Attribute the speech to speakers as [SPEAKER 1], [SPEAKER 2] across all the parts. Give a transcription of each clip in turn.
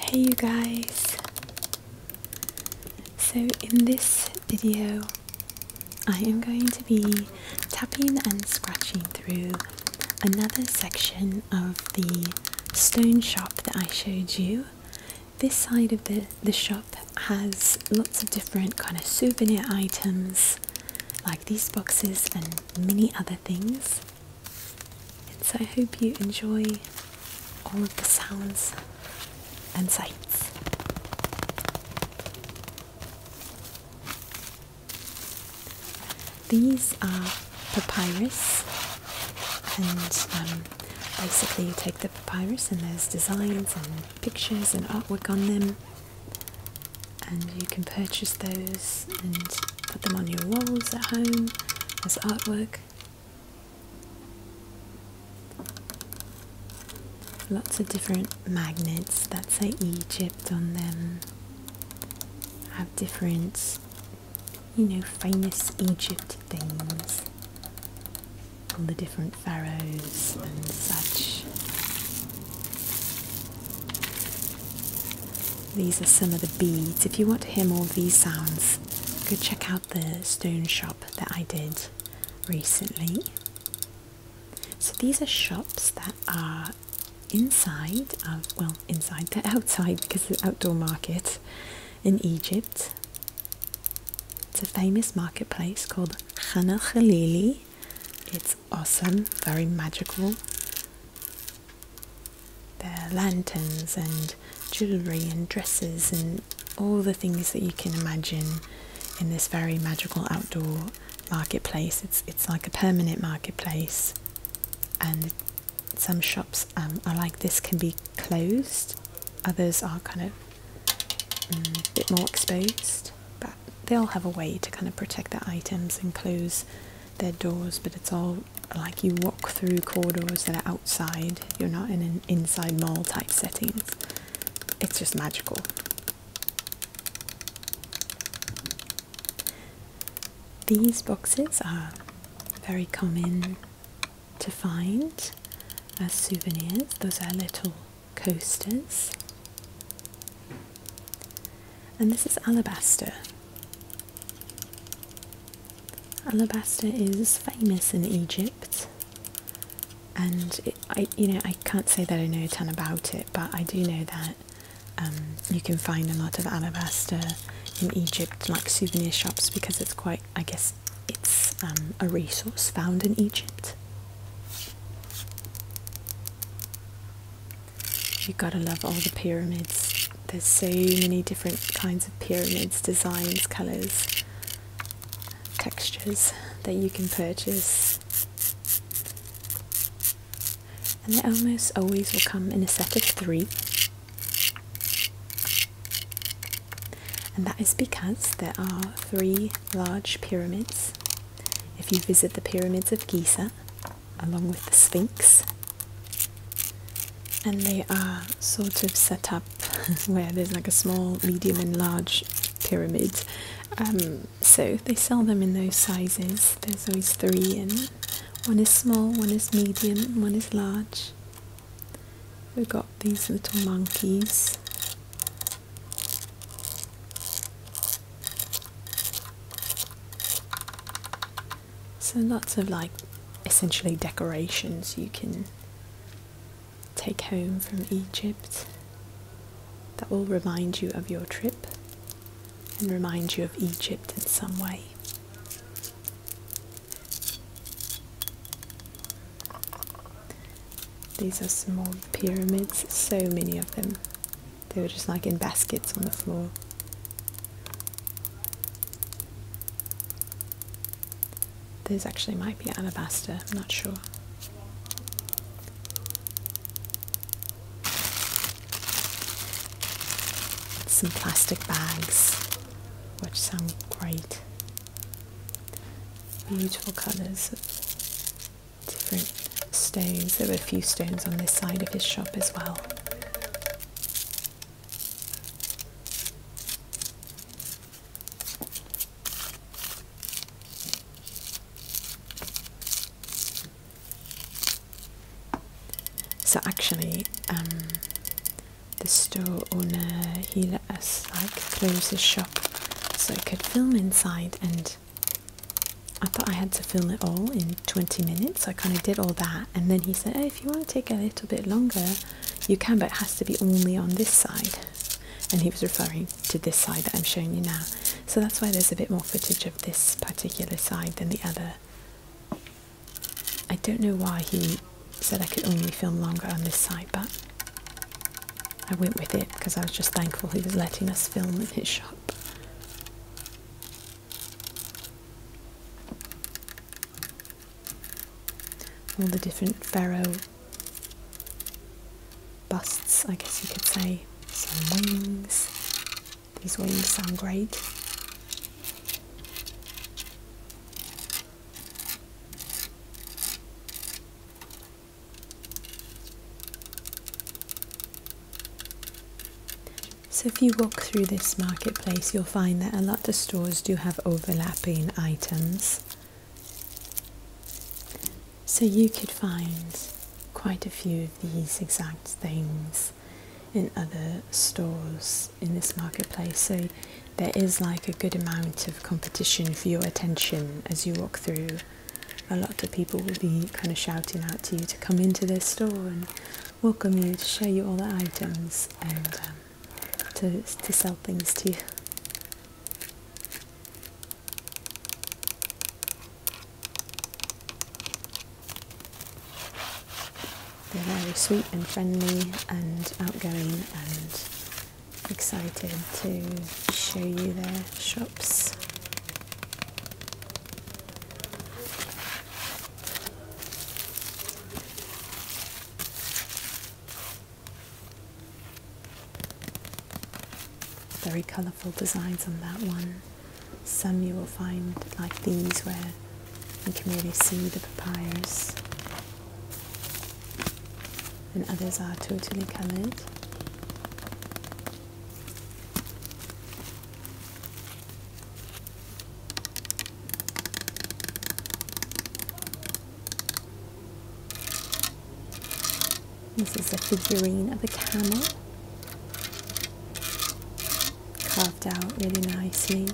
[SPEAKER 1] Hey you guys! So in this video I am going to be tapping and scratching through another section of the stone shop that I showed you. This side of the, the shop has lots of different kind of souvenir items like these boxes and many other things. And so I hope you enjoy all of the sounds and sights. These are papyrus, and um, basically you take the papyrus and there's designs and pictures and artwork on them, and you can purchase those and put them on your walls at home as artwork. Lots of different magnets that say Egypt on them. Have different, you know, famous Egypt things. All the different pharaohs and such. These are some of the beads. If you want to hear more of these sounds, go check out the stone shop that I did recently. So these are shops that are inside of, well, inside, they outside because it's an outdoor market in Egypt. It's a famous marketplace called Khana Khalili. It's awesome, very magical. There are lanterns and jewellery and dresses and all the things that you can imagine in this very magical outdoor marketplace. It's it's like a permanent marketplace, and some shops um, are like this can be closed, others are kind of a mm, bit more exposed they all have a way to kind of protect their items and close their doors, but it's all like you walk through corridors that are outside, you're not in an inside mall type setting. It's just magical. These boxes are very common to find as souvenirs. Those are little coasters. And this is alabaster. Alabaster is famous in Egypt, and I, you know, I can't say that I know a ton about it, but I do know that um, you can find a lot of alabaster in Egypt, like souvenir shops, because it's quite, I guess, it's um, a resource found in Egypt. You gotta love all the pyramids. There's so many different kinds of pyramids, designs, colours, textures that you can purchase. And they almost always will come in a set of three and that is because there are three large pyramids. If you visit the pyramids of Giza, along with the Sphinx, and they are sort of set up where there's like a small, medium, and large pyramids. Um, so they sell them in those sizes. There's always three in. One is small, one is medium, one is large. We've got these little monkeys. So lots of like essentially decorations you can take home from Egypt that will remind you of your trip and remind you of Egypt in some way. These are small pyramids, so many of them. They were just like in baskets on the floor. Those actually might be alabaster, I'm not sure. Some plastic bags, which sound great beautiful colours different stones. There were a few stones on this side of his shop as well. So actually, um, the store owner he let us like close his shop so I could film inside and I thought I had to film it all in 20 minutes I kind of did all that and then he said oh, if you want to take a little bit longer you can but it has to be only on this side and he was referring to this side that I'm showing you now so that's why there's a bit more footage of this particular side than the other I don't know why he said I could only film longer on this side, but I went with it because I was just thankful he was letting us film in his shop. All the different pharaoh busts, I guess you could say. Some wings. These wings sound great. So if you walk through this marketplace you'll find that a lot of stores do have overlapping items. So you could find quite a few of these exact things in other stores in this marketplace so there is like a good amount of competition for your attention as you walk through a lot of people will be kind of shouting out to you to come into their store and welcome you to show you all the items and um, to, to sell things to you they're very sweet and friendly and outgoing and excited to show you their shops. Very colourful designs on that one. Some you will find like these where you can really see the papayas, and others are totally coloured. This is a figurine of a camel out really nicely.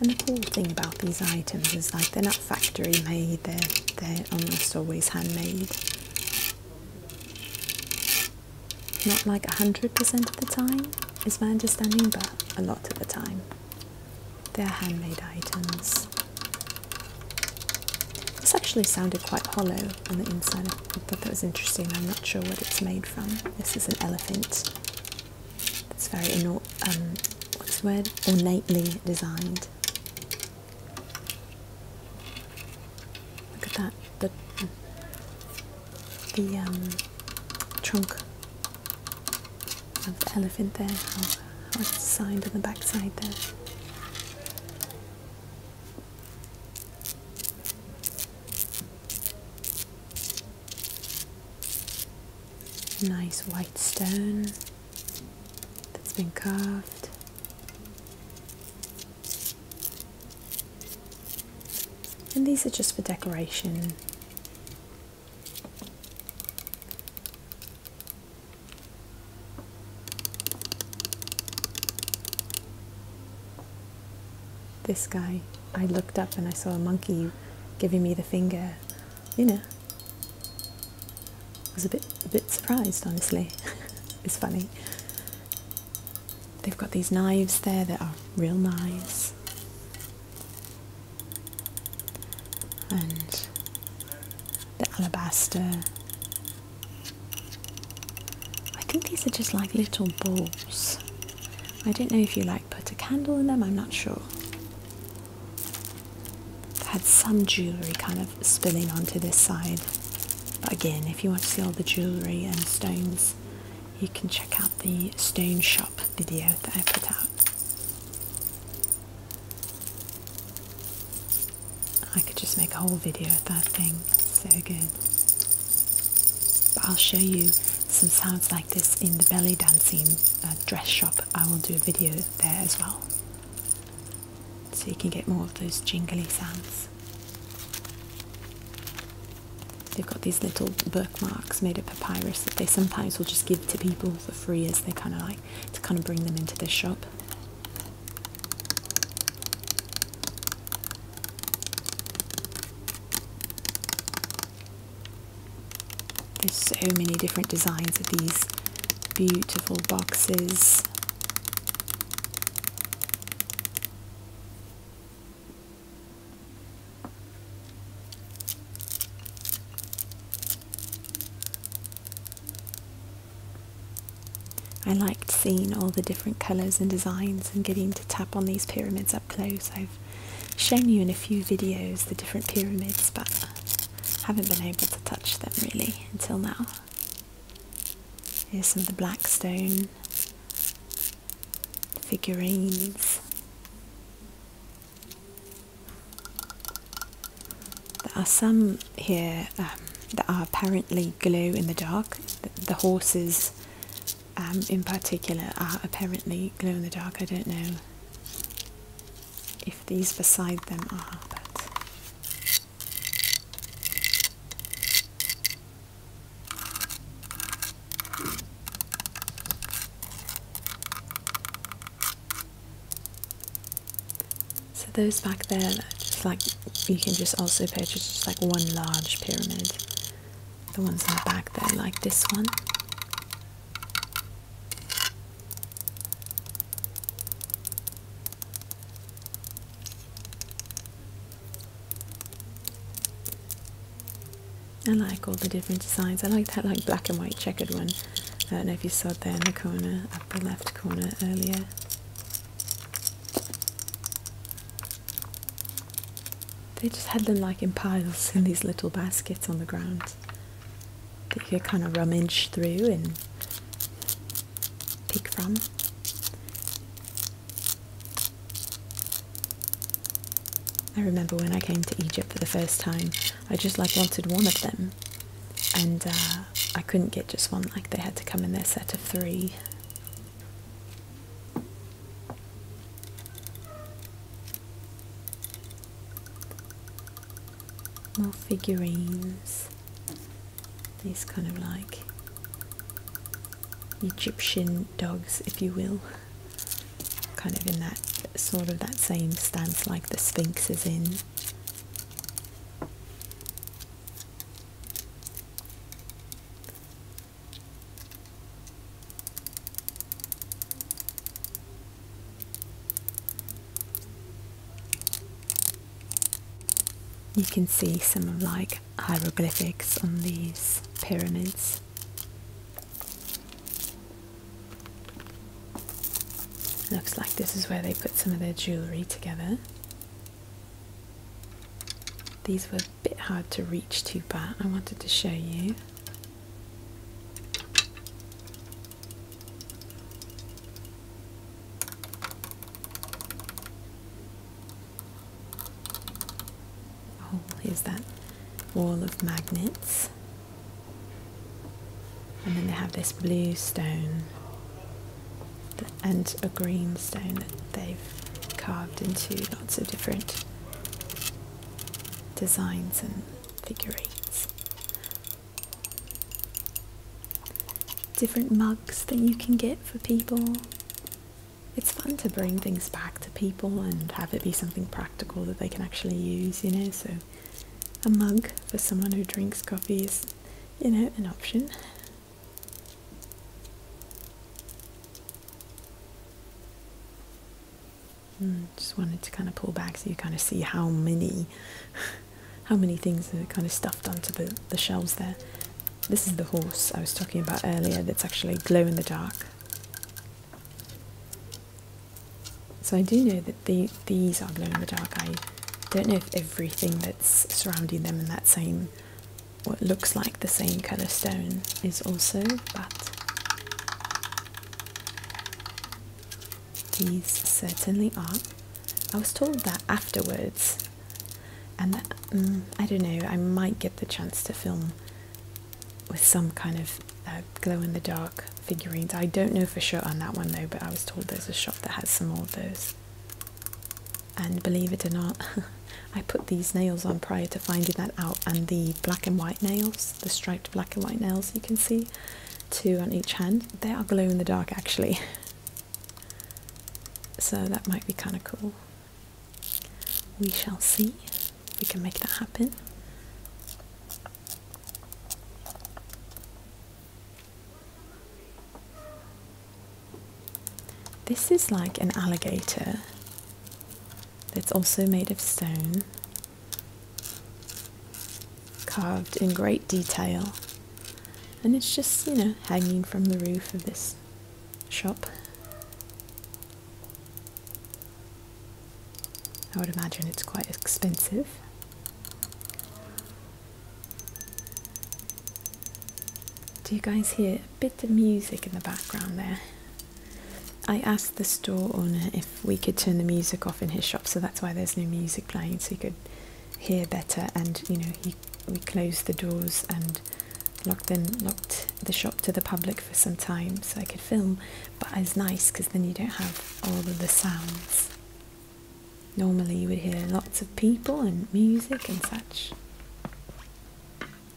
[SPEAKER 1] And the cool thing about these items is like they're not factory made, they're, they're almost always handmade. Not like 100% of the time is my understanding, but a lot of the time. They're handmade items. This actually sounded quite hollow on the inside. I thought that was interesting. I'm not sure what it's made from. This is an elephant. It's very inor um, what's the word? Ornately designed. Look at that. The the um, trunk of the elephant there. How, how it's on the backside there. Nice white stone that's been carved. And these are just for decoration. This guy, I looked up and I saw a monkey giving me the finger. You know, I was a bit a bit surprised, honestly. it's funny. They've got these knives there that are real knives. And the alabaster I think these are just like little balls. I don't know if you like put a candle in them, I'm not sure. I've had some jewellery kind of spilling onto this side. But again, if you want to see all the jewellery and stones, you can check out the stone shop video that I put out. I could just make a whole video of that thing. so good. But I'll show you some sounds like this in the belly dancing uh, dress shop. I will do a video there as well. So you can get more of those jingly sounds. They've got these little bookmarks made of papyrus that they sometimes will just give to people for free as they kind of like to kind of bring them into the shop. There's so many different designs of these beautiful boxes. I liked seeing all the different colours and designs and getting to tap on these pyramids up close. I've shown you in a few videos the different pyramids, but haven't been able to touch them really until now. Here's some of the black stone figurines. There are some here um, that are apparently glow in the dark. The, horses, um, in particular, are apparently glow in the dark. I don't know if these beside them are, so those back there, just like you can just also purchase just like one large pyramid. The ones in the back there, like this one. I like all the different designs. I like that like black and white checkered one. I don't know if you saw it there in the corner, upper left corner earlier. They just had them like in piles in these little baskets on the ground that you could kind of rummage through and pick from. I remember when I came to Egypt for the first time, I just like wanted one of them and uh, I couldn't get just one like they had to come in their set of three. More figurines, these kind of like Egyptian dogs, if you will kind of in that sort of that same stance like the Sphinx is in. You can see some like hieroglyphics on these pyramids. Looks like this is where they put some of their jewellery together. These were a bit hard to reach too, but I wanted to show you. Oh, here's that wall of magnets. And then they have this blue stone and a green stone that they've carved into lots of different designs and figure eights. Different mugs that you can get for people. It's fun to bring things back to people and have it be something practical practical that they can actually use, you know. So, a mug for someone who drinks coffee is, you know, an option. Hmm, just wanted to kind of pull back so you kind of see how many, how many things are kind of stuffed onto the, the shelves there. This is the horse I was talking about earlier that's actually glow in the dark. So I do know that the, these are glow in the dark. I don't know if everything that's surrounding them in that same, what looks like the same colour stone is also, but these certainly are. I was told that afterwards, and mm, I don't know, I might get the chance to film with some kind of uh, glow in the dark figurines. I don't know for sure on that one though, but I was told there's a shop that has some more of those. And believe it or not, I put these nails on prior to finding that out, and the black and white nails, the striped black and white nails you can see, two on each hand, they are glow in the dark actually. so that might be kind of cool. We shall see. We can make that happen. This is like an alligator that's also made of stone, carved in great detail, and it's just, you know, hanging from the roof of this shop. I would imagine it's quite expensive. Do you guys hear a bit of music in the background there? I asked the store owner if we could turn the music off in his shop, so that's why there's no music playing, so he could hear better. And you know, we closed the doors and locked locked the shop to the public for some time so I could film but it's nice because then you don't have all of the sounds normally you would hear lots of people and music and such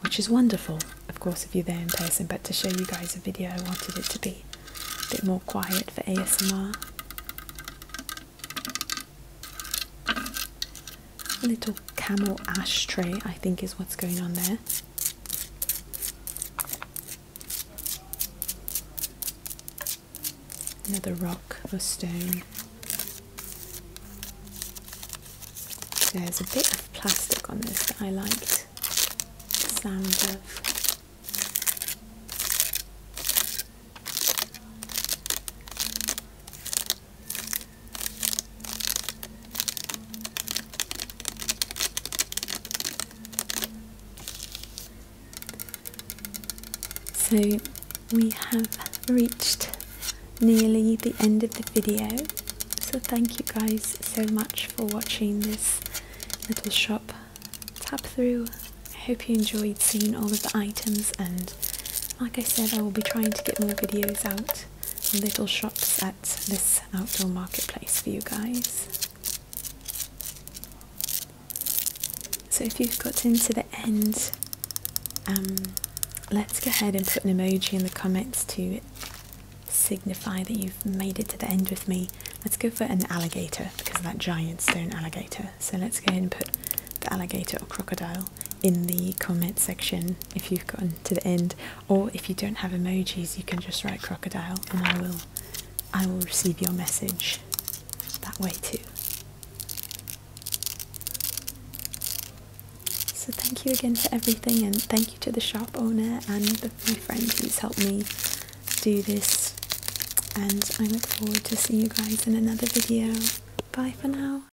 [SPEAKER 1] which is wonderful of course if you're there in person but to show you guys a video I wanted it to be a bit more quiet for ASMR a little camel ashtray I think is what's going on there Another rock or stone. There's a bit of plastic on this that I liked sound of. So we have reached nearly the end of the video. So thank you guys so much for watching this little shop tap through. I hope you enjoyed seeing all of the items and like I said I will be trying to get more videos out little shops at this outdoor marketplace for you guys. So if you've got to the end, um, let's go ahead and put an emoji in the comments to signify that you've made it to the end with me. Let's go for an alligator because of that giant stone alligator. So let's go ahead and put the alligator or crocodile in the comment section if you've gotten to the end or if you don't have emojis you can just write crocodile and I will I will receive your message that way too. So thank you again for everything and thank you to the shop owner and my friend who's helped me do this and I look forward to seeing you guys in another video. Bye for now.